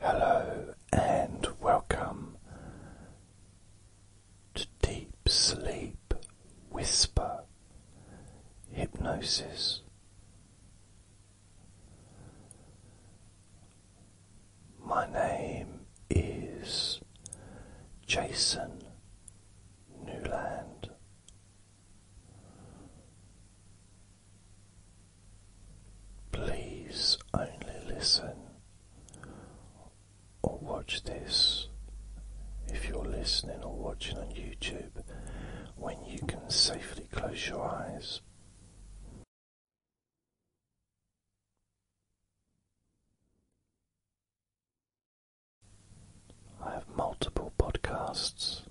Hello and welcome to Deep Sleep Whisper Hypnosis. My name is Jason Newland. Please only listen or watch this if you're listening or watching on YouTube when you can safely close your eyes. I have multiple podcasts.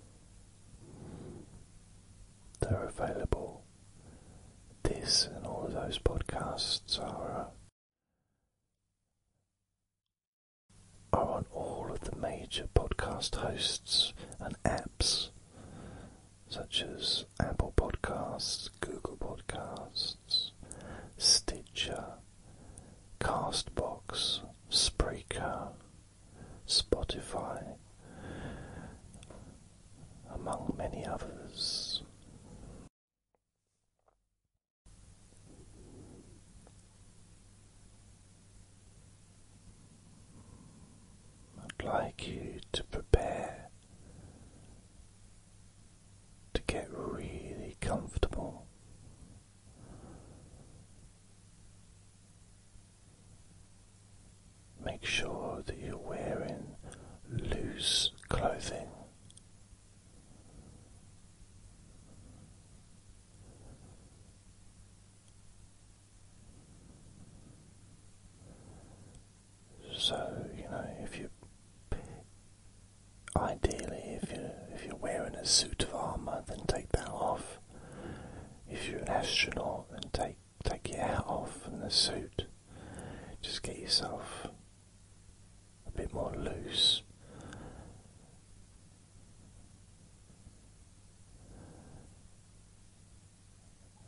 They're available this and all of those podcasts are, uh, are on all of the major podcast hosts and apps such as Apple Podcasts, Google Podcasts, Stitcher, Castbox, Spreaker, Spotify, among many others. I'd like you to prepare to get really comfortable. Make sure that you're wearing loose clothing. So, you know, if you ideally if you if you're wearing a suit of armor, then take that off. If you're an astronaut, and take Take your hat off and the suit. Just get yourself a bit more loose.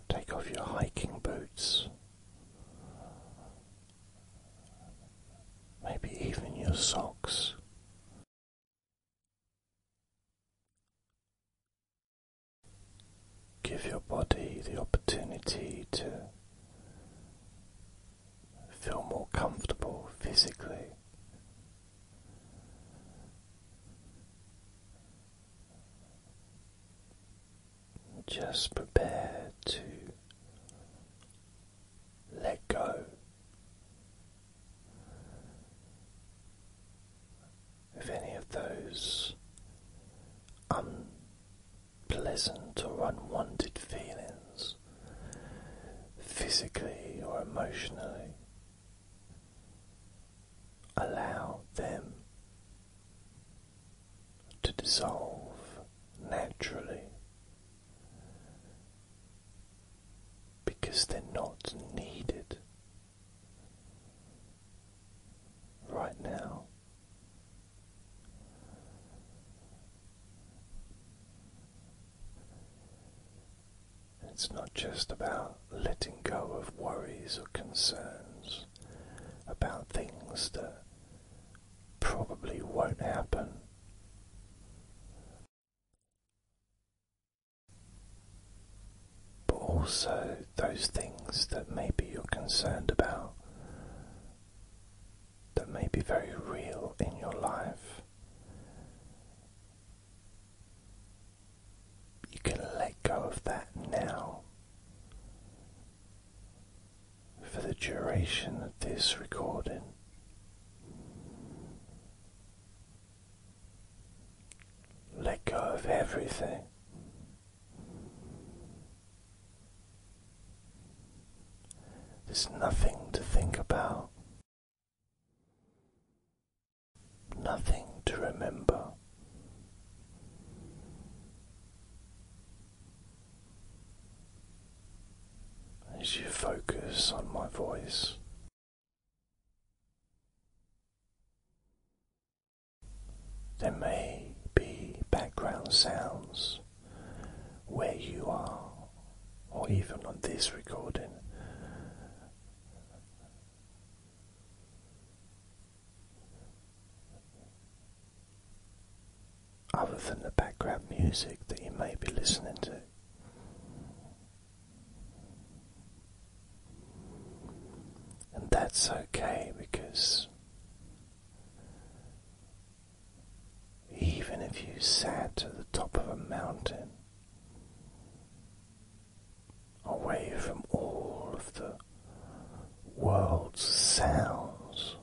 Take off your hiking boots. Maybe even your socks. Give your body the opportunity to feel more comfortable physically. Just prepare to let go if any of those unpleasant or unwanted feelings, physically or emotionally. Allow them to dissolve naturally because they're not needed right now. It's not just about letting go of worries or concerns about things that probably won't happen but also those things that maybe you're concerned about that may be very real in your life. You can let go of that now. For the duration of this recording, let go of everything. There's nothing to think about, nothing to remember. As you focus on my voice, there may be background sounds where you are, or even on this recording. Other than the background music that you may be listening to, and that's okay because even if you sat at the top of a mountain, away from all of the world's sounds,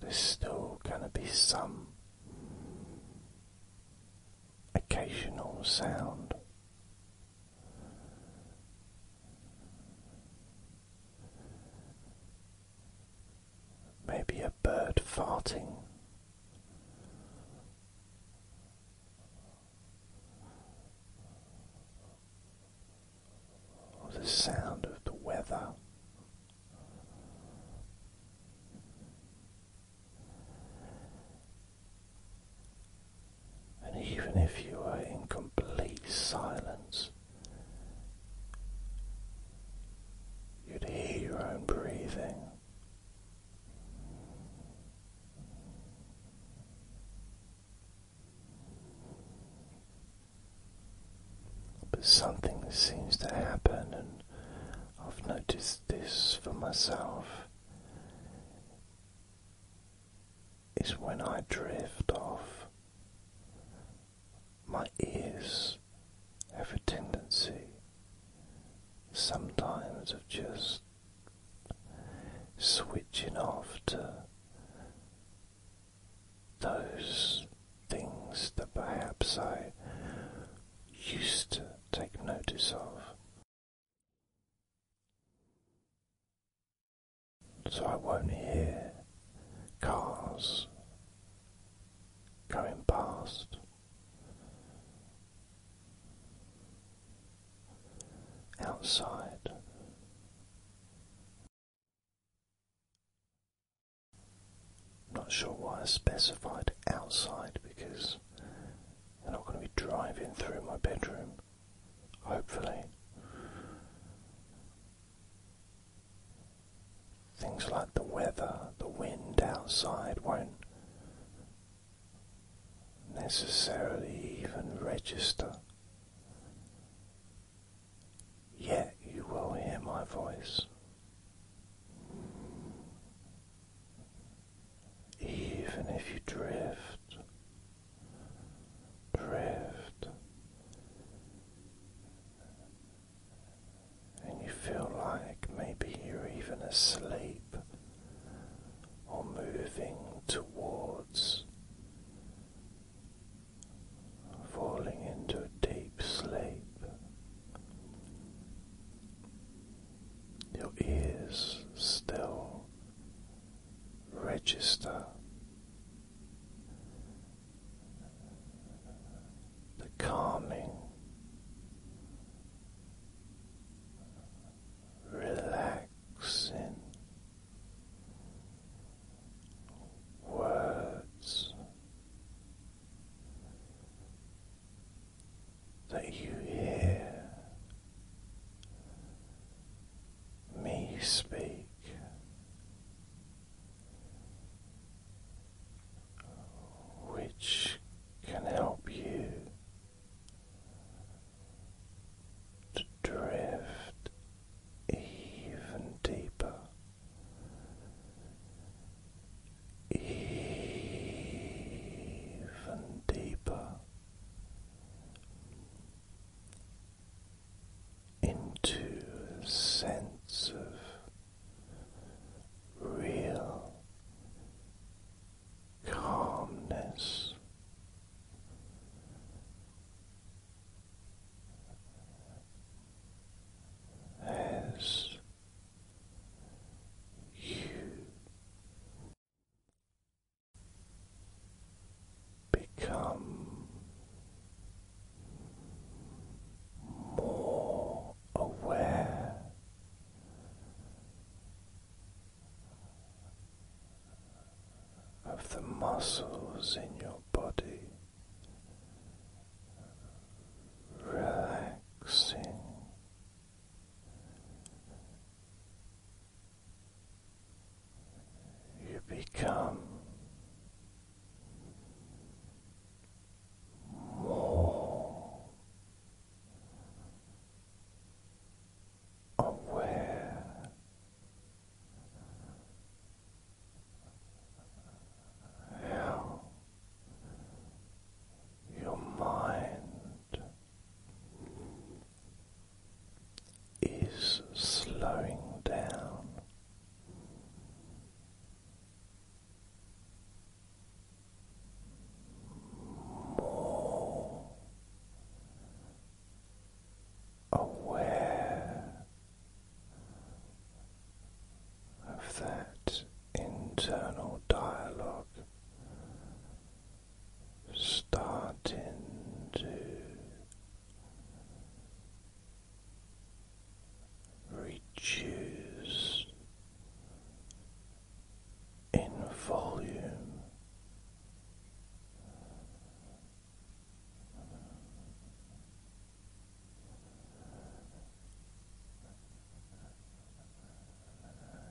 there's still going to be some occasional sound. Maybe a bird farting. Or the sound of the weather and even if you were in complete silence, you'd hear your own breathing. But something seems to happen, and I've noticed this for myself, is when I drift off, my ears have a tendency sometimes of just switching off to those things that perhaps I used to take notice of. So I won't hear cars going past. Outside, not sure why I specified outside because I'm not going to be driving through my bedroom, hopefully. Things like the weather, the wind outside won't necessarily even register yet you will hear my voice. Even if you drift, drift, and you feel like maybe you're even asleep or moving towards falling into deep sleep. Your ears still register the calming, relaxing words that you hear me speak. Which can help you to drift even deeper even deeper into a sense of real calmness as you become more aware. Of the muscles in your body relaxing. You become more aware how your mind is slowing down. More aware of that internal dialogue starting to reduce in volume.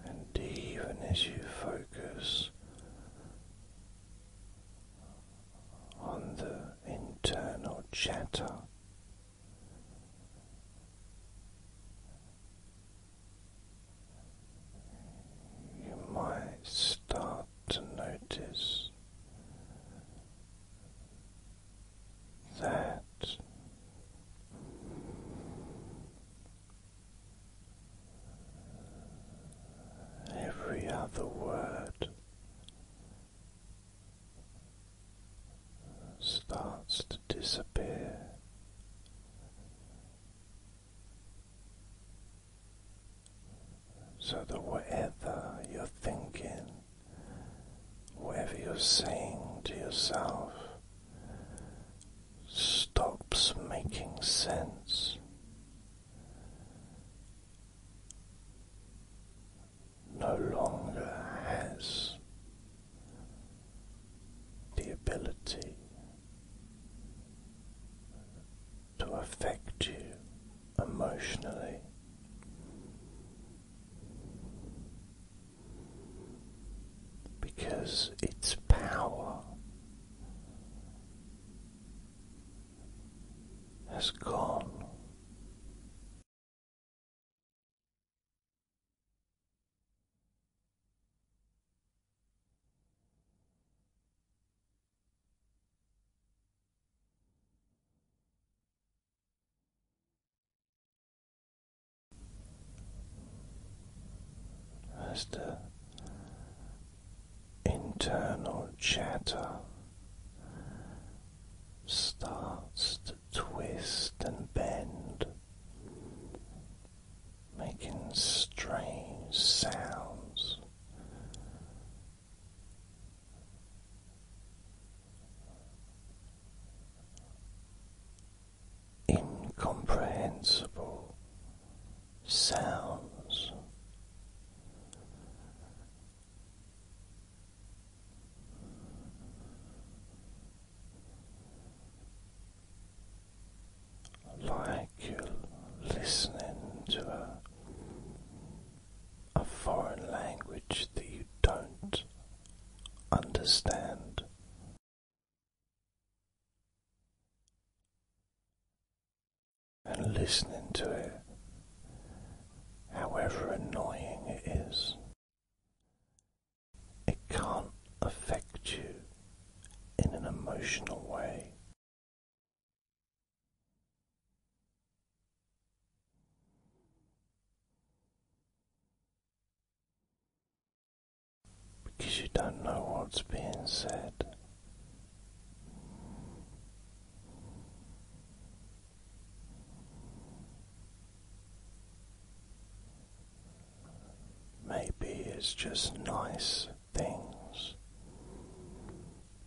And even as you focus on the internal chatter, you might start to notice that every other word starts to disappear. So that whatever you're thinking whatever you're saying to yourself stops making sense. No longer has the ability to affect you emotionally, because its power has gone as the internal chatter starts to twist and bend, making strange sounds incomprehensible sounds. Like you're listening to her a foreign language that you don't understand. And listening to it, however annoying it is, it can't affect you in an emotional way. Because you don't know what's being said. Maybe it's just nice things,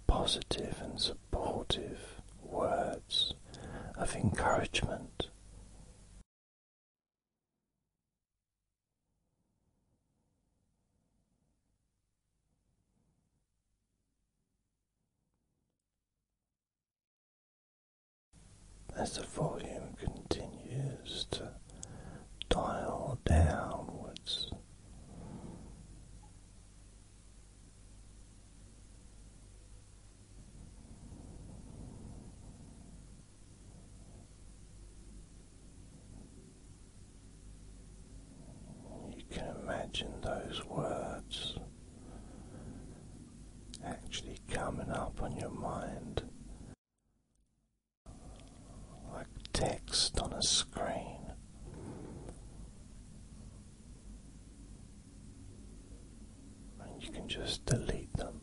positive and supportive supportive words of encouragement. As the volume continues to dial downwards, you can imagine those words actually coming up on your mind like text on a screen and you can just delete them.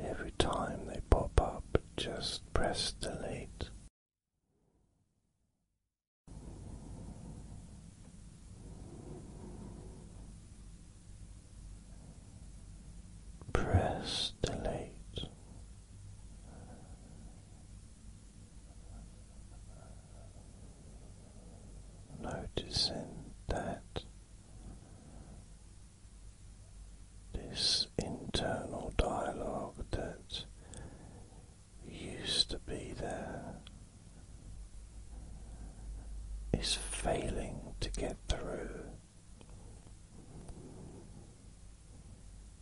Every time they pop up, just press delete. Press delete Noticing that this internal dialogue that used to be there is failing to get through.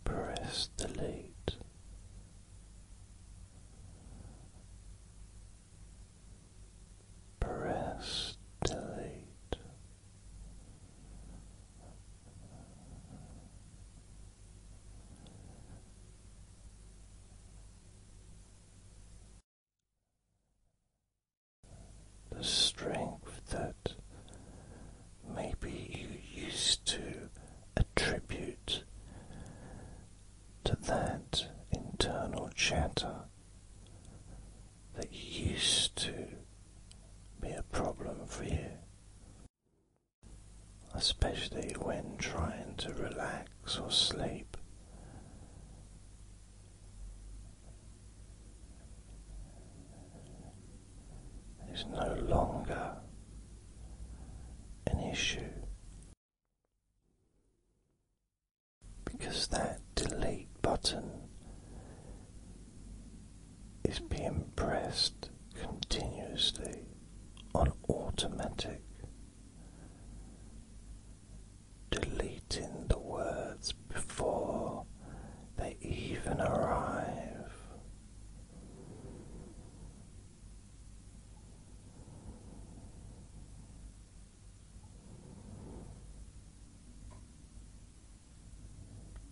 Press delete Press delete. The strength that maybe you used to a tribute to that internal chatter that used to be a problem for you, especially when trying to relax or sleep. Is no longer an issue because that delete button is being pressed continuously on automatic, deleting the words before they even arrive.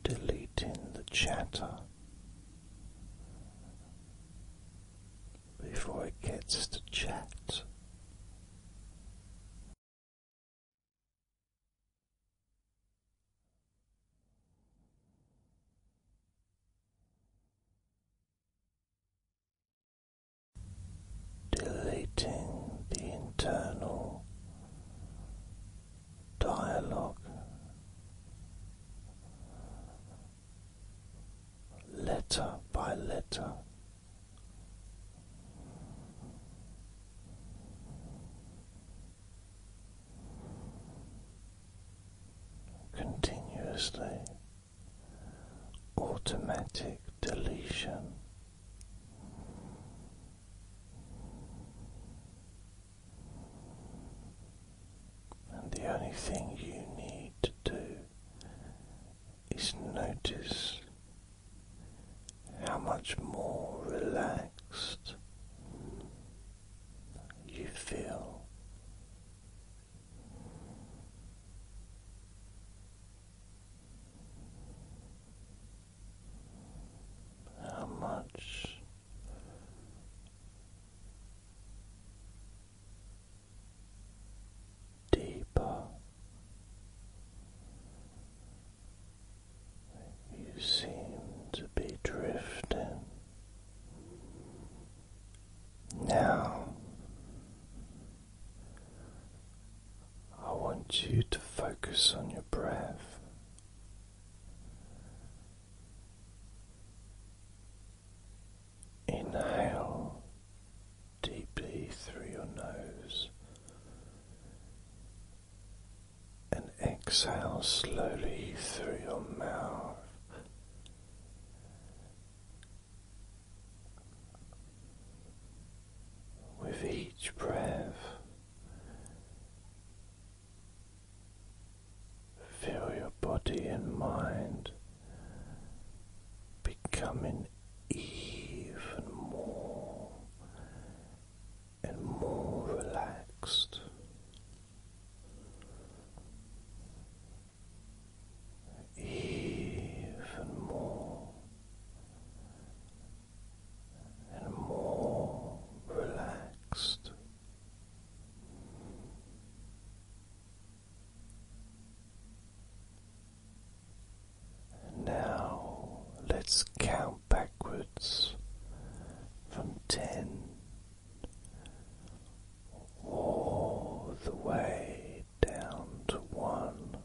Deleting the chatter before it gets to chat. Deleting the internal dialogue, letter by letter continuously automatic deletion. And the only thing you need to do is notice how much more relaxed you feel. How much deeper you seem to be drifting now, I want you to focus on your breath. Inhale deeply through your nose and exhale slowly through your mouth with each breath, feel your body and mind becoming even more and more relaxed even more and more relaxed. now let's count backwards from ten all the way down to one.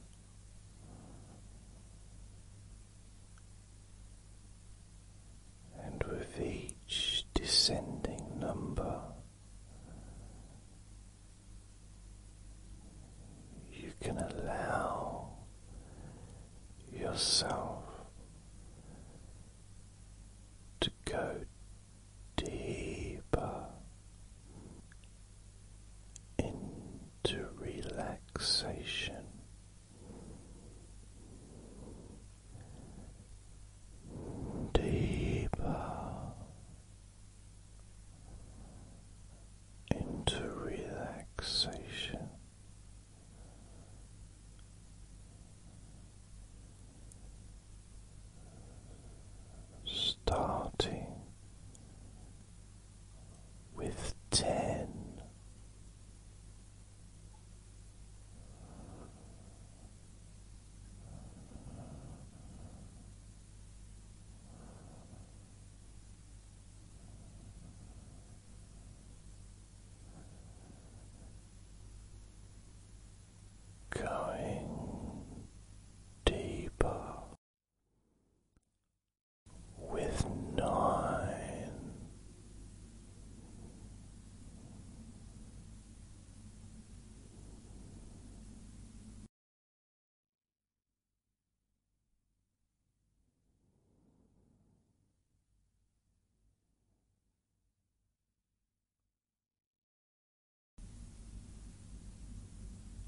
And with each descending number, you can allow yourself to go deeper into relaxation. Deeper into relaxation, starting with ten going deeper with nine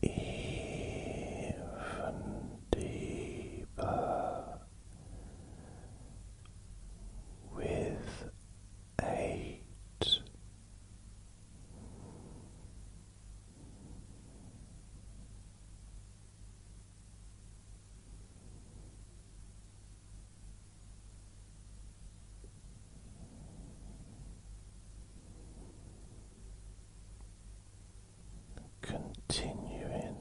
even deeper with eight. Continuing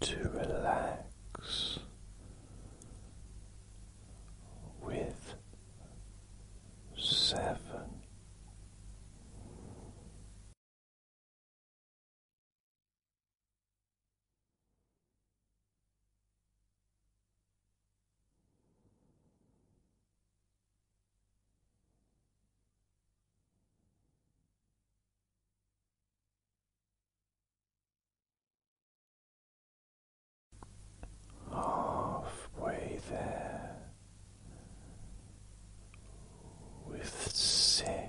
to relax with seven. Halfway there with sex.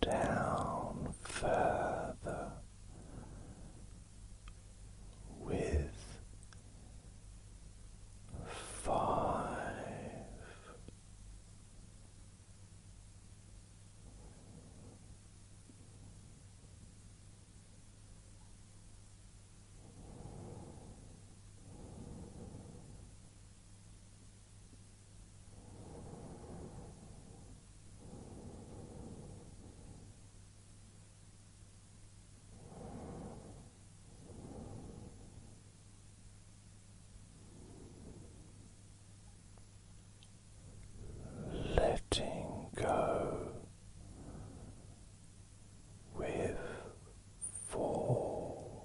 down further with five. Letting go with four.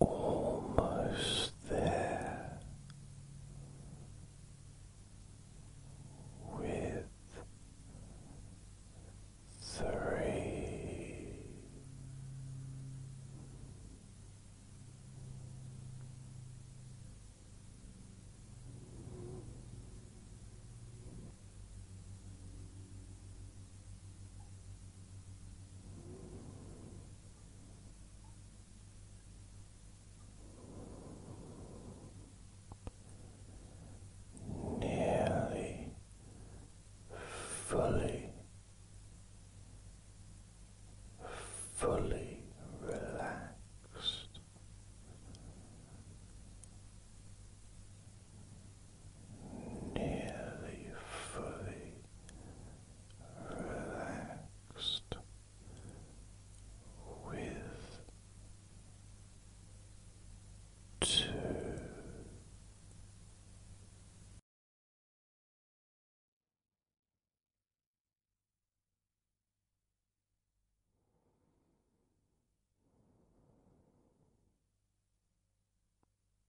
almost there with three. Nearly fully, fully relaxed nearly fully relaxed with two.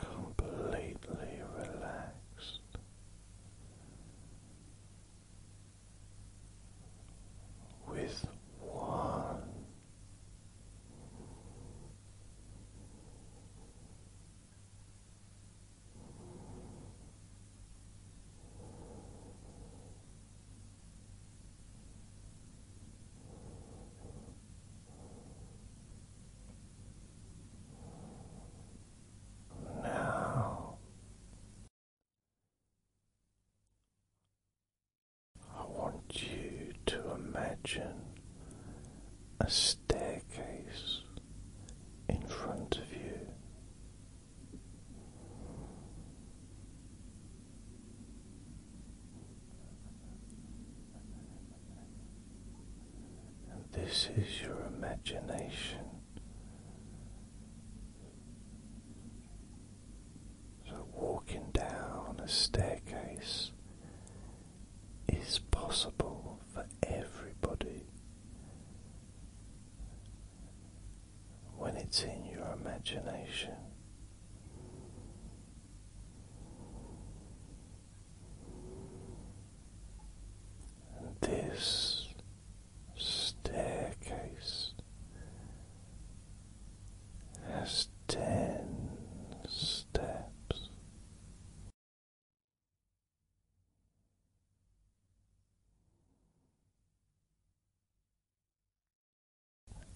completely relaxed. With one now I want you to imagine a staircase in front of you. And this is your imagination. So, walking down a staircase is possible for everybody when it's in your imagination. this staircase has ten steps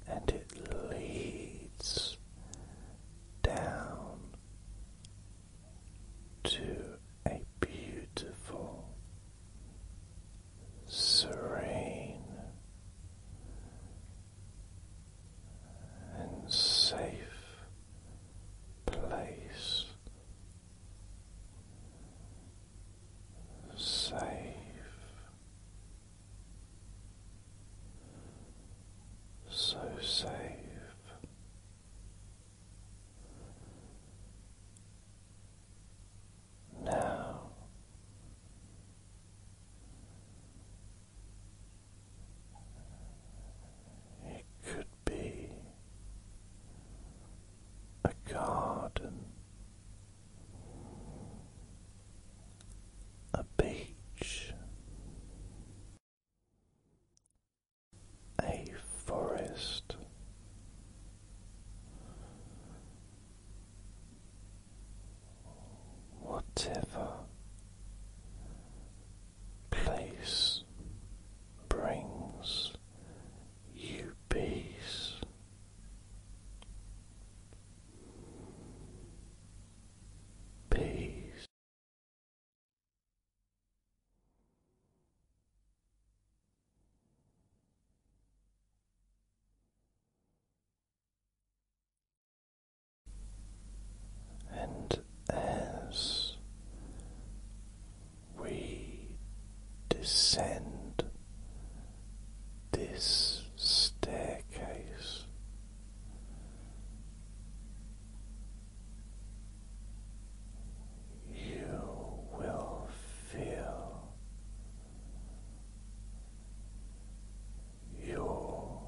and it leads down to a beautiful, serene, and safe place safe. So safe, now it could be a garden a beach, a forest. Whatever place brings you peace, Peace. And as we descend this staircase. You will feel your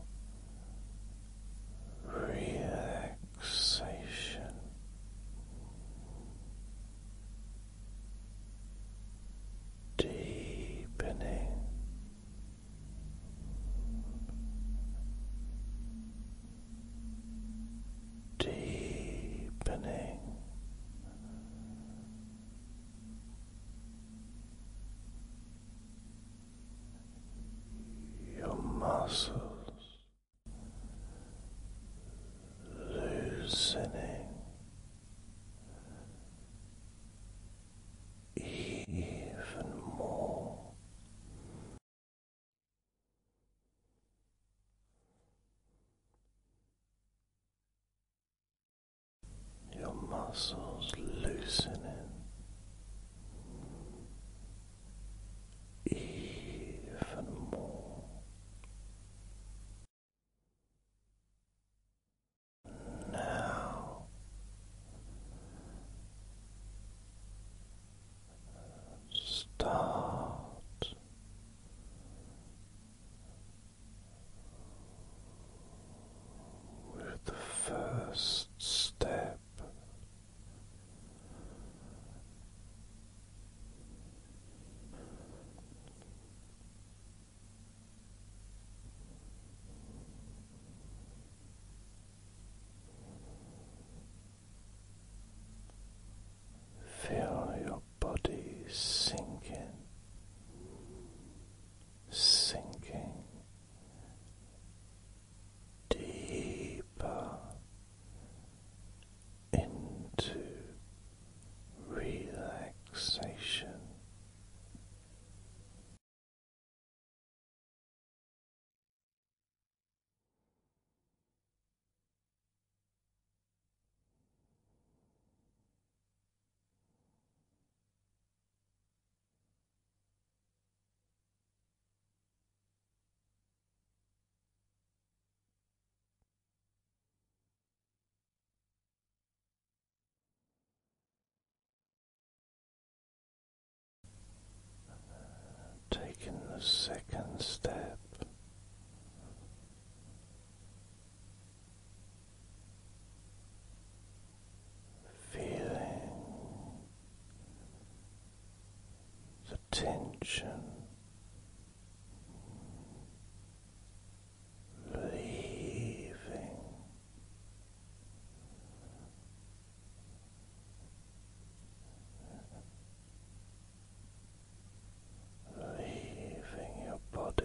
relaxation deepening deepening your muscles loosening even more. Your muscles loosening even more. Now start with the first step. Feel your body sinking, sinking deeper into relaxation. Taking the second step. Feeling the tension leaving leaving your body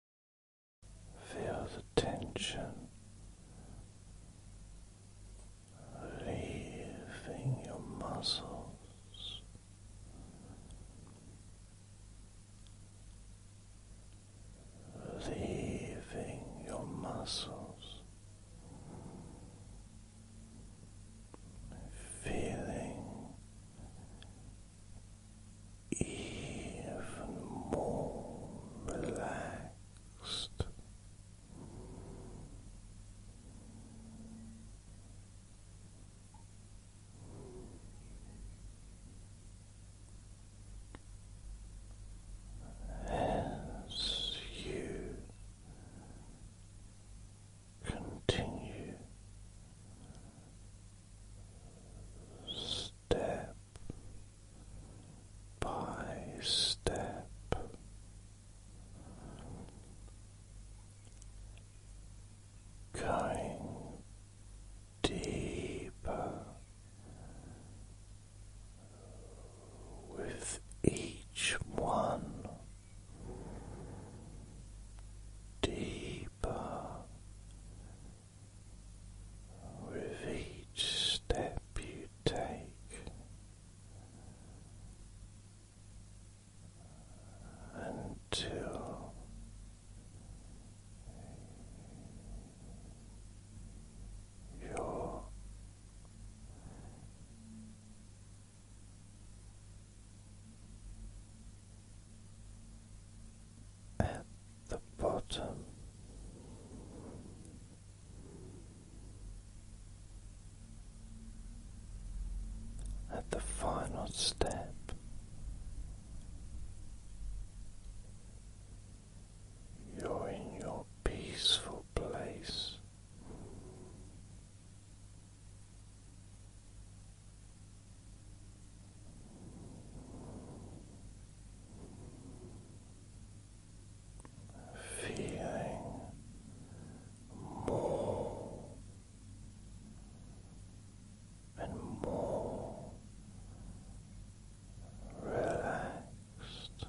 Feel the tension leaving your muscles. Leaving your muscles, feeling even more relaxed relaxed. As you continue step by step. Going deeper with each one, deeper with each step you take, until your at the bottom. At the final step, you're in your peaceful place feeling more and more relaxed.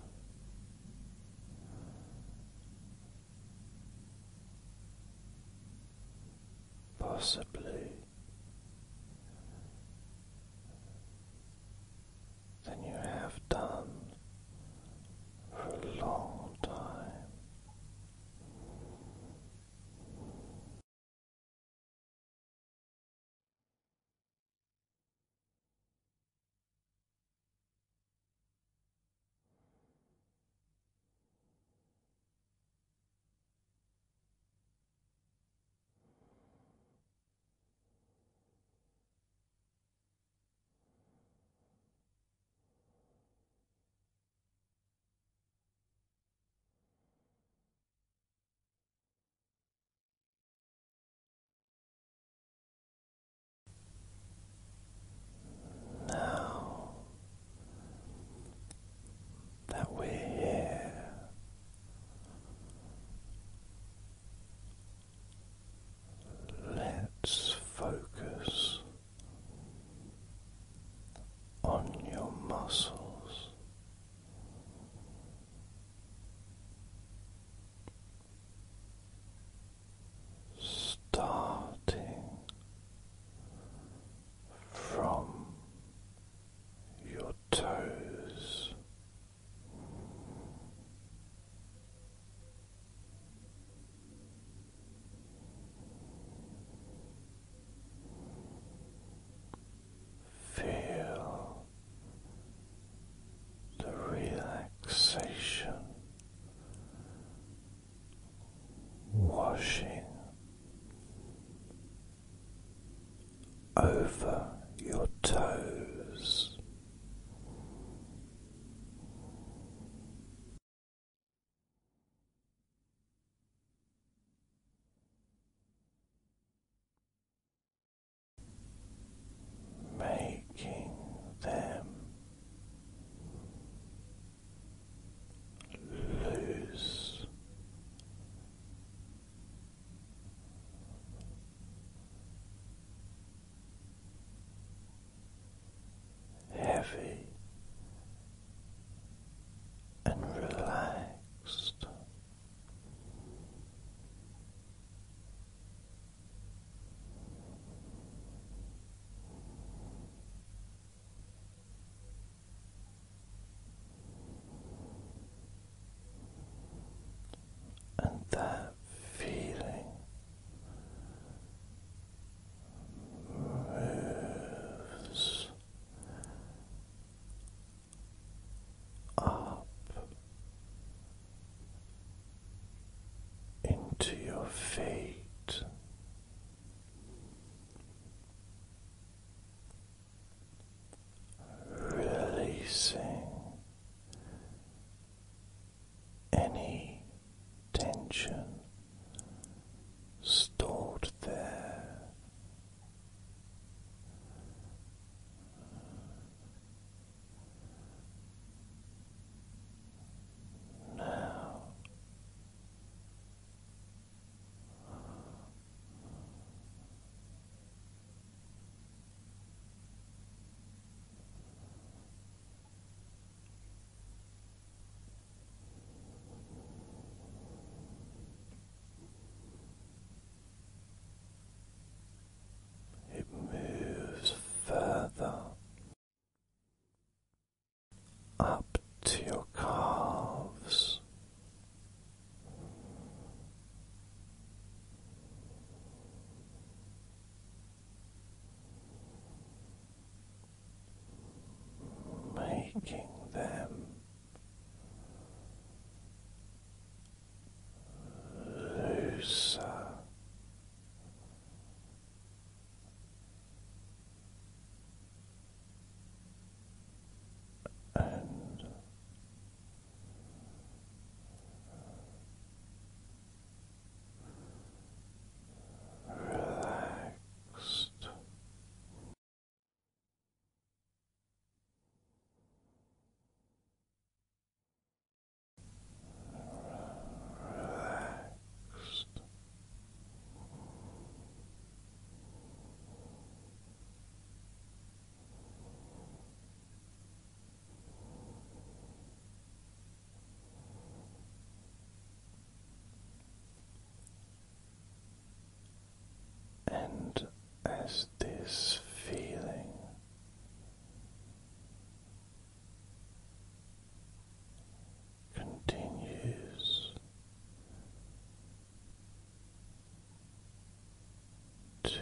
Possibly than you have done for a long time. Now that we're here Let's focus on your muscles. Starting from your toes Feel the relaxation washing over your toes. Making them loose heavy and relaxed and that feeling moves up into your feet releasing any tension stored there. Now it moves further up to your calves making them looser. And relaxed. Relaxed. And as this feeling continues to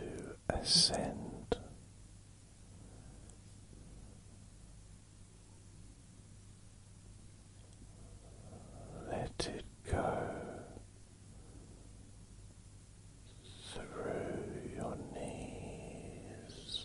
ascend. Let it go through your knees.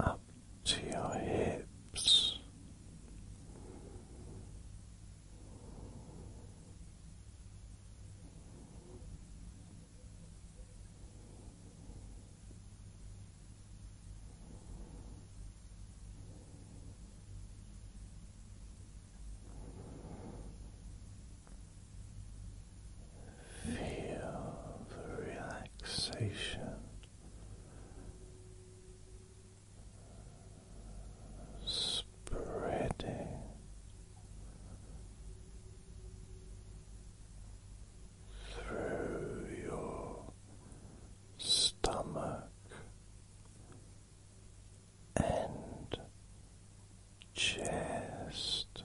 Up to your hips, Feel the relaxation spreading through your stomach and chest.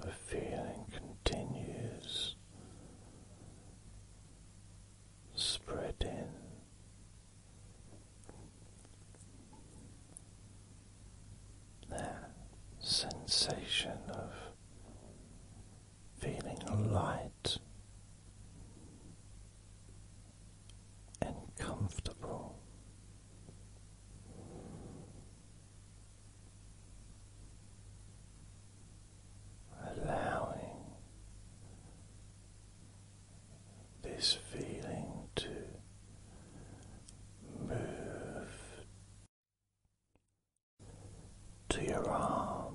The feeling continues spreading. That sensation of feeling light and comfortable allowing this feeling to move to your arms.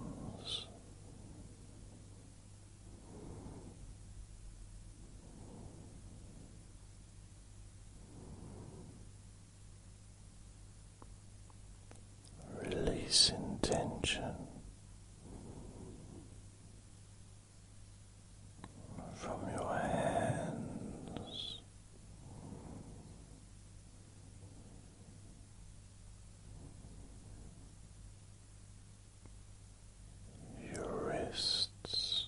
Release tension from your hands. Your wrists,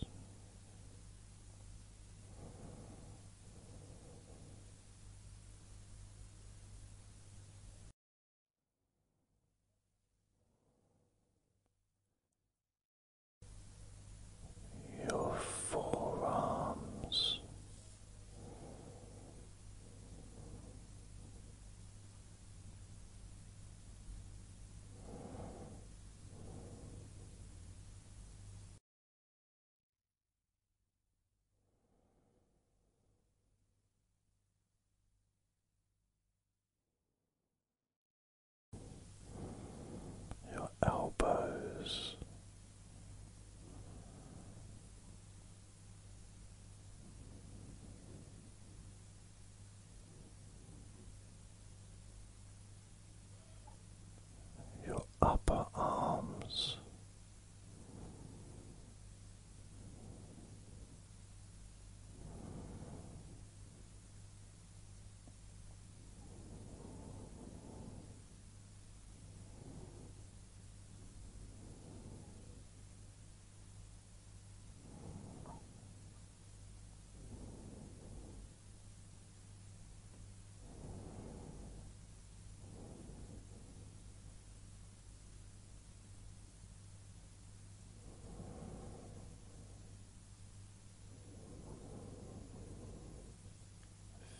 your forearms, your elbows, your upper arms.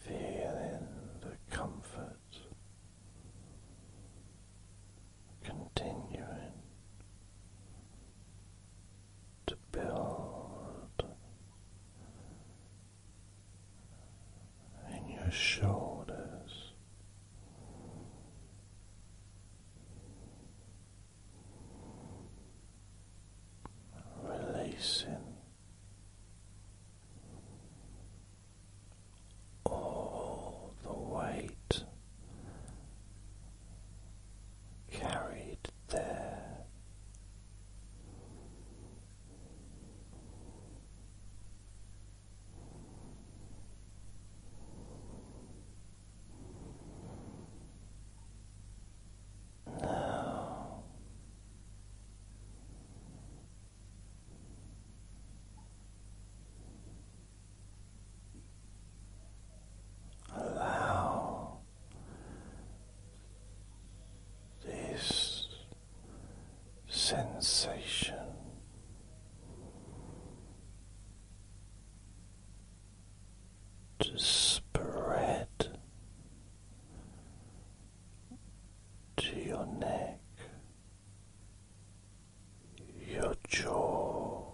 Feeling the comfort continuing to build in your shoulders. Releasing all the weight carried there now allow this sensation. To spread to your neck, your jaw,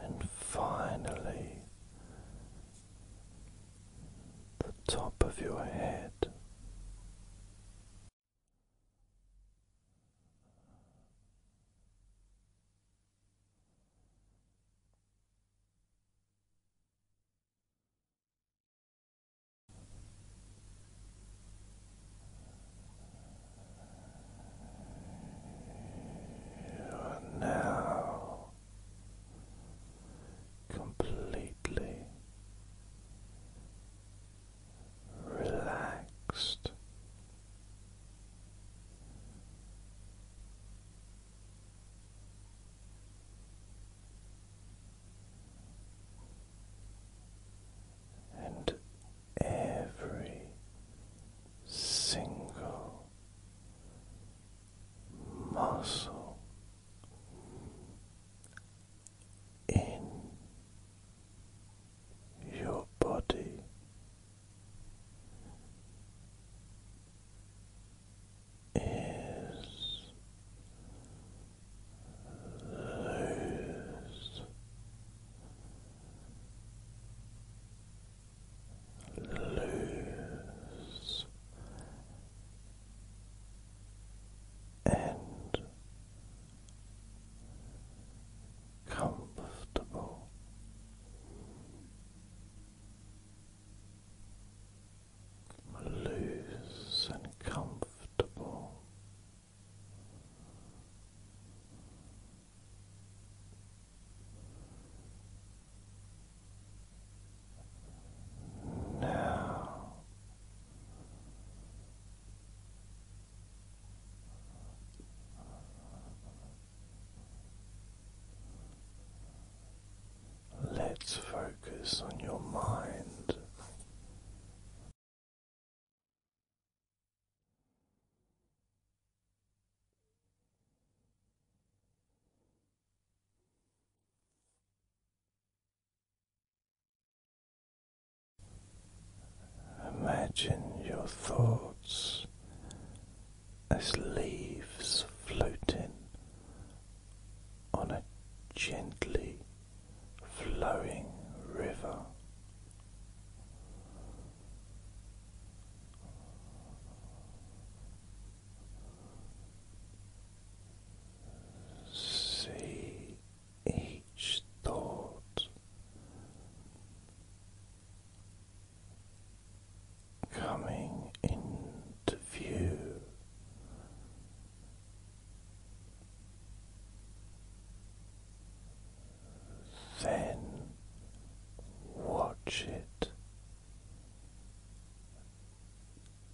And finally, the top of your head. You are now completely relaxed and every single muscle in your body is loose. Loose and comfortable loose and comfortable. Now Let's focus on your mind. Imagine your thoughts as leaves floating on a gently flowing river. See each thought coming into view then watch it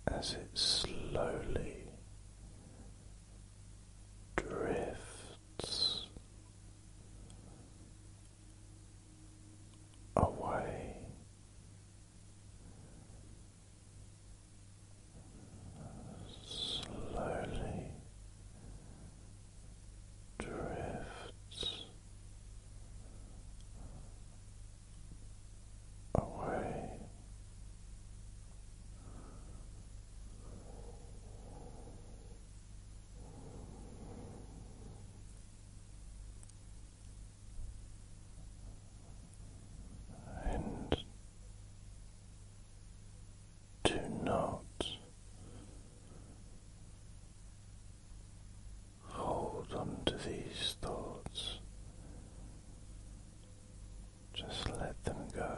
as it slowly drifts away slowly drifts away and do not hold on to these thoughts, just let them go.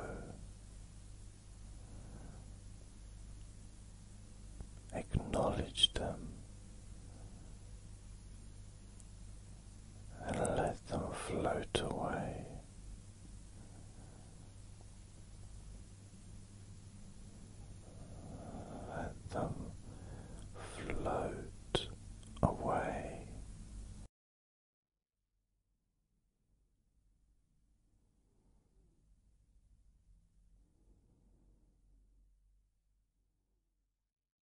Acknowledge them and let them float away. Let them float away.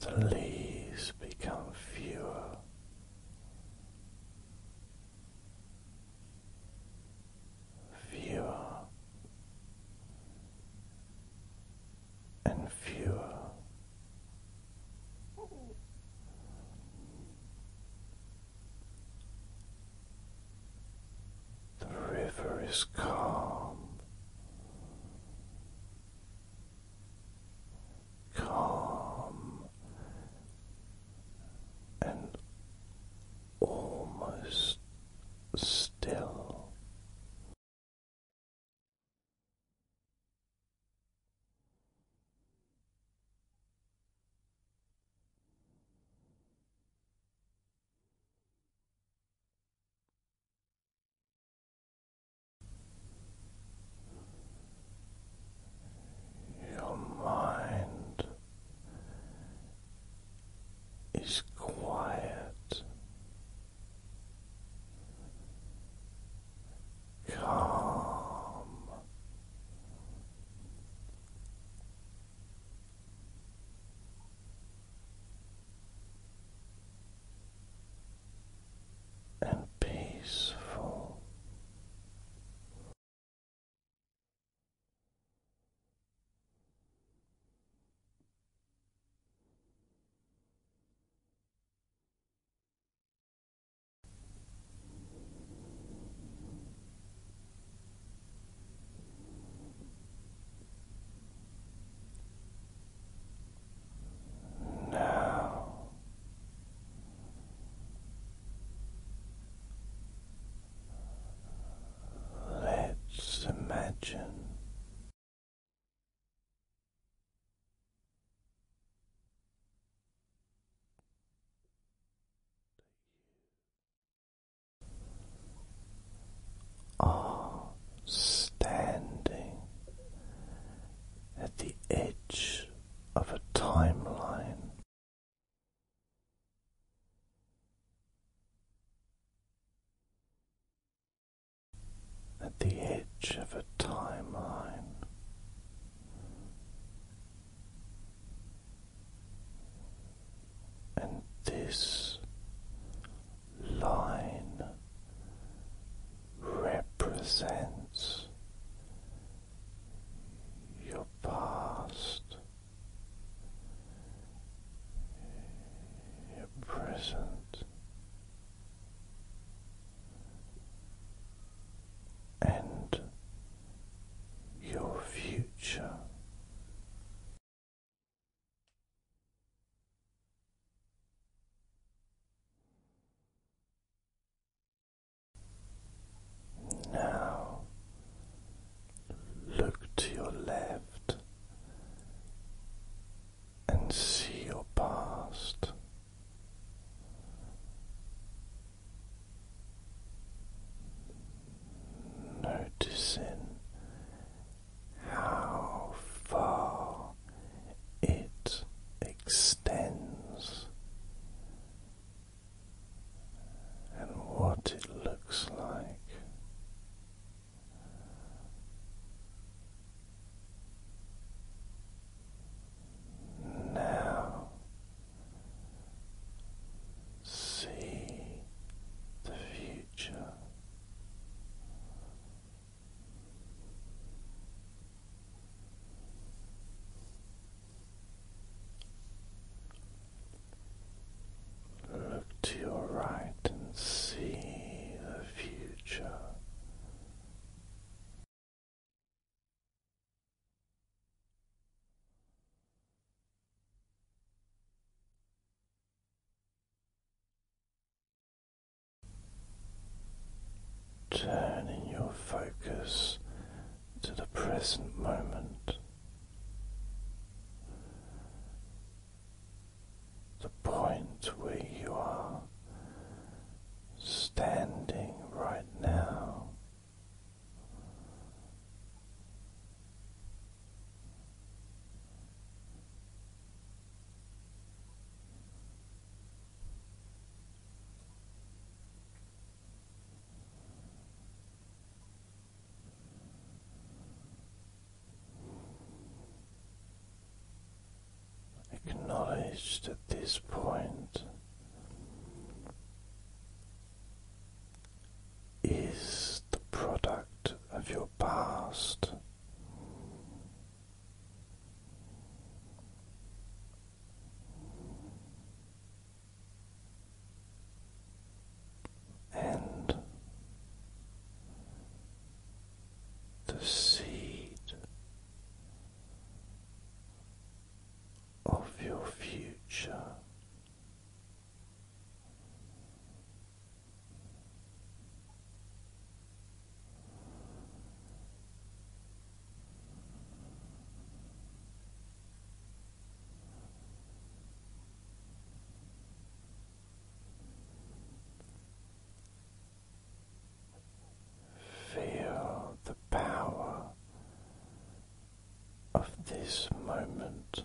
The leaves become fewer. Fewer and fewer, the river is calm, calm and almost still. Your mind is quiet, calm and peaceful. Now let's imagine are standing at the edge of a timeline. At the edge of a timeline, and this line represents your past, your present, and your future. Now look to your left and see your past. Noticing how far it extends and what it looks like. Now see the future Look to your right and see the future. Turning your focus to the present moment, the point where you are standing right now. Acknowledged at this point is the product of your past and the seed of your future Feel the power of this moment.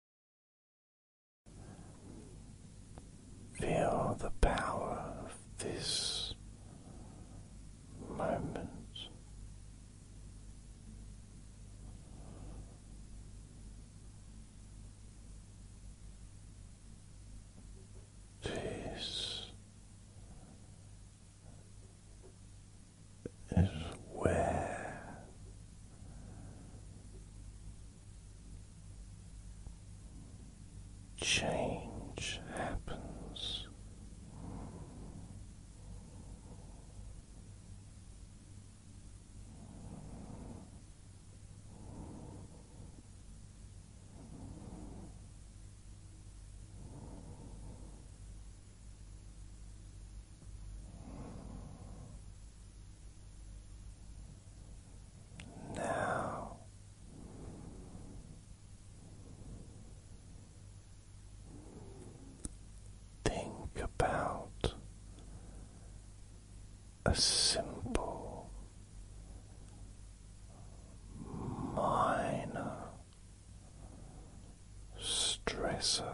Feel the power of this moment. This is where change happens. Now think about a simple, minor stressor.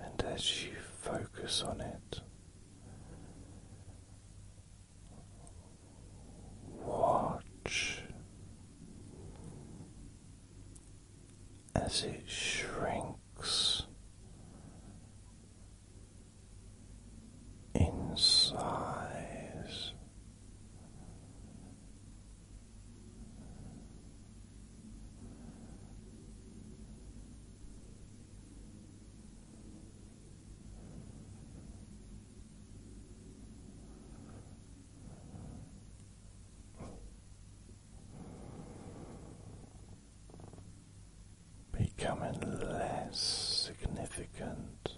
And as you focus on it, watch as it shrinks in size becoming less significant.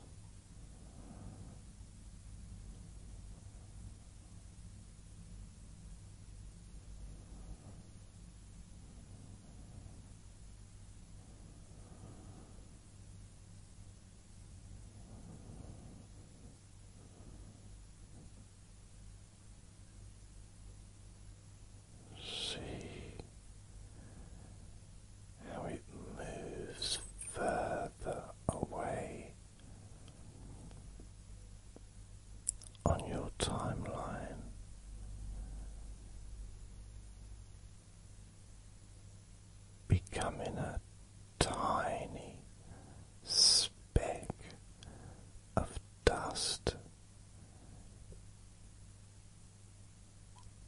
See how it moves further away on your timeline. Becoming a tiny speck of dust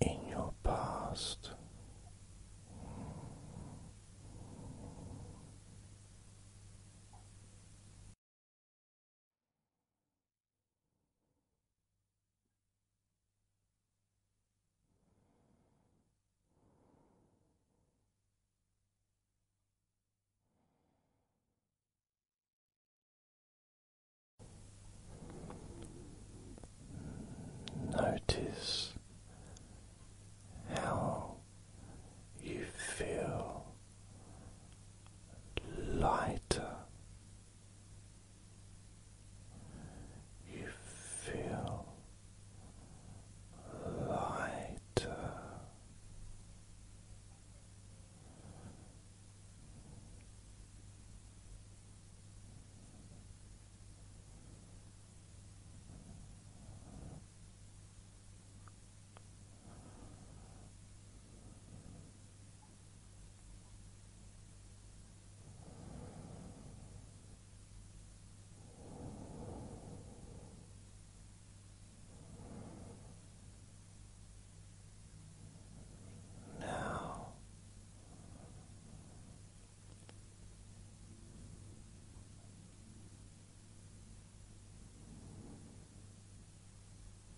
in your past. Notice how you feel lighter, you feel lighter. Now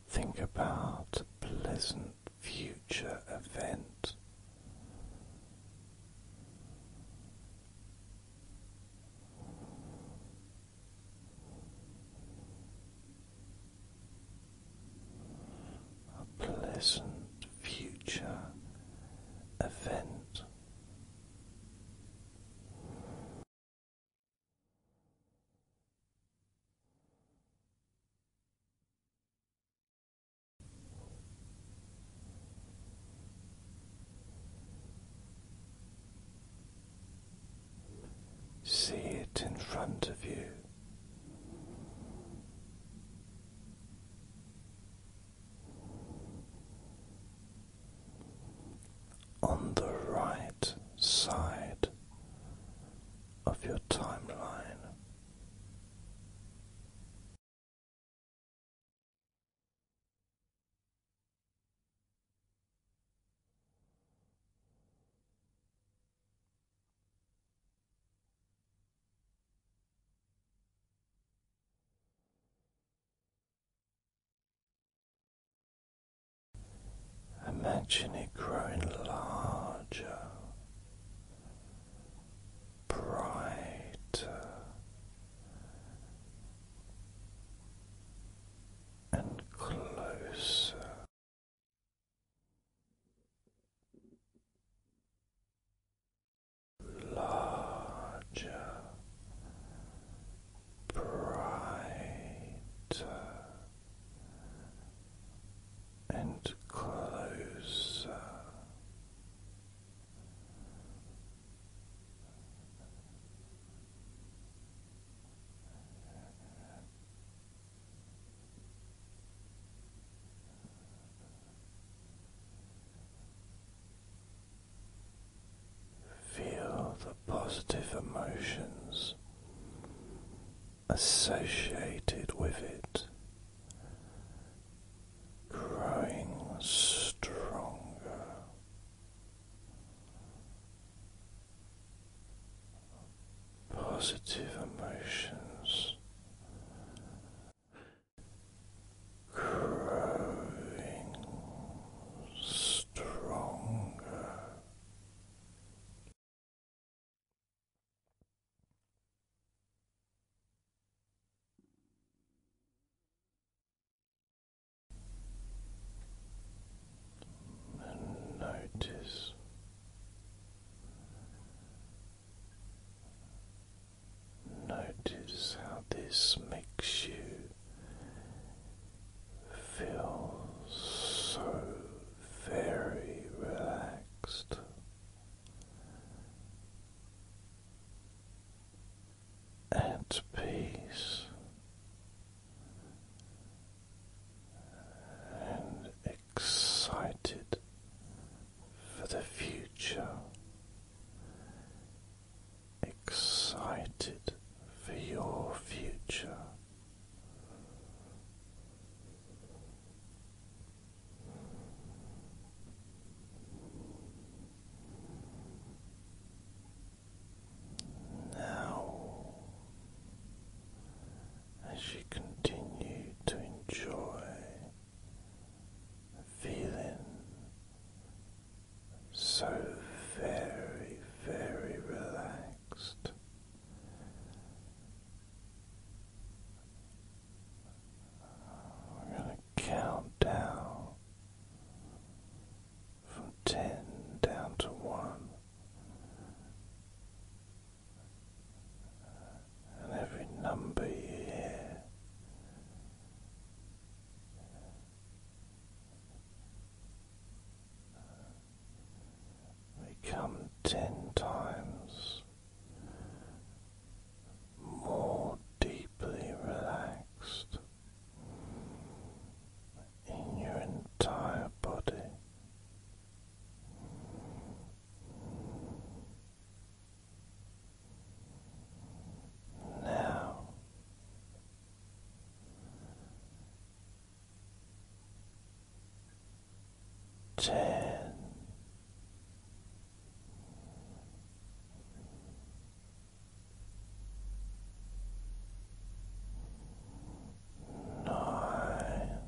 think about a pleasant future event a pleasant future event. See it in front of you. On the right side of your timeline. Imagine it growing larger, brighter, and closer. Larger, brighter, and closer Feel the positive emotions associated with it growing stronger positive emotions growing stronger notice notice how this makes you feel so very relaxed at peace and excited for the future, excited for your future. Now, as you continue to enjoy feeling so very, very relaxed. Count down from ten down to one, and every number you hear. They come ten times more deeply relaxed in your entire body. Now ten nine.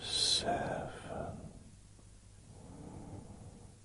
Seven,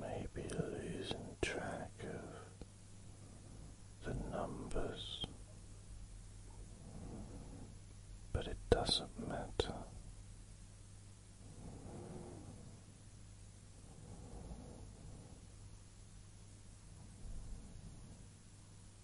Maybe losing track of the numbers, but it doesn't matter.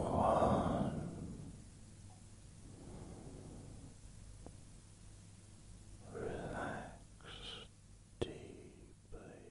One. Relax deeply.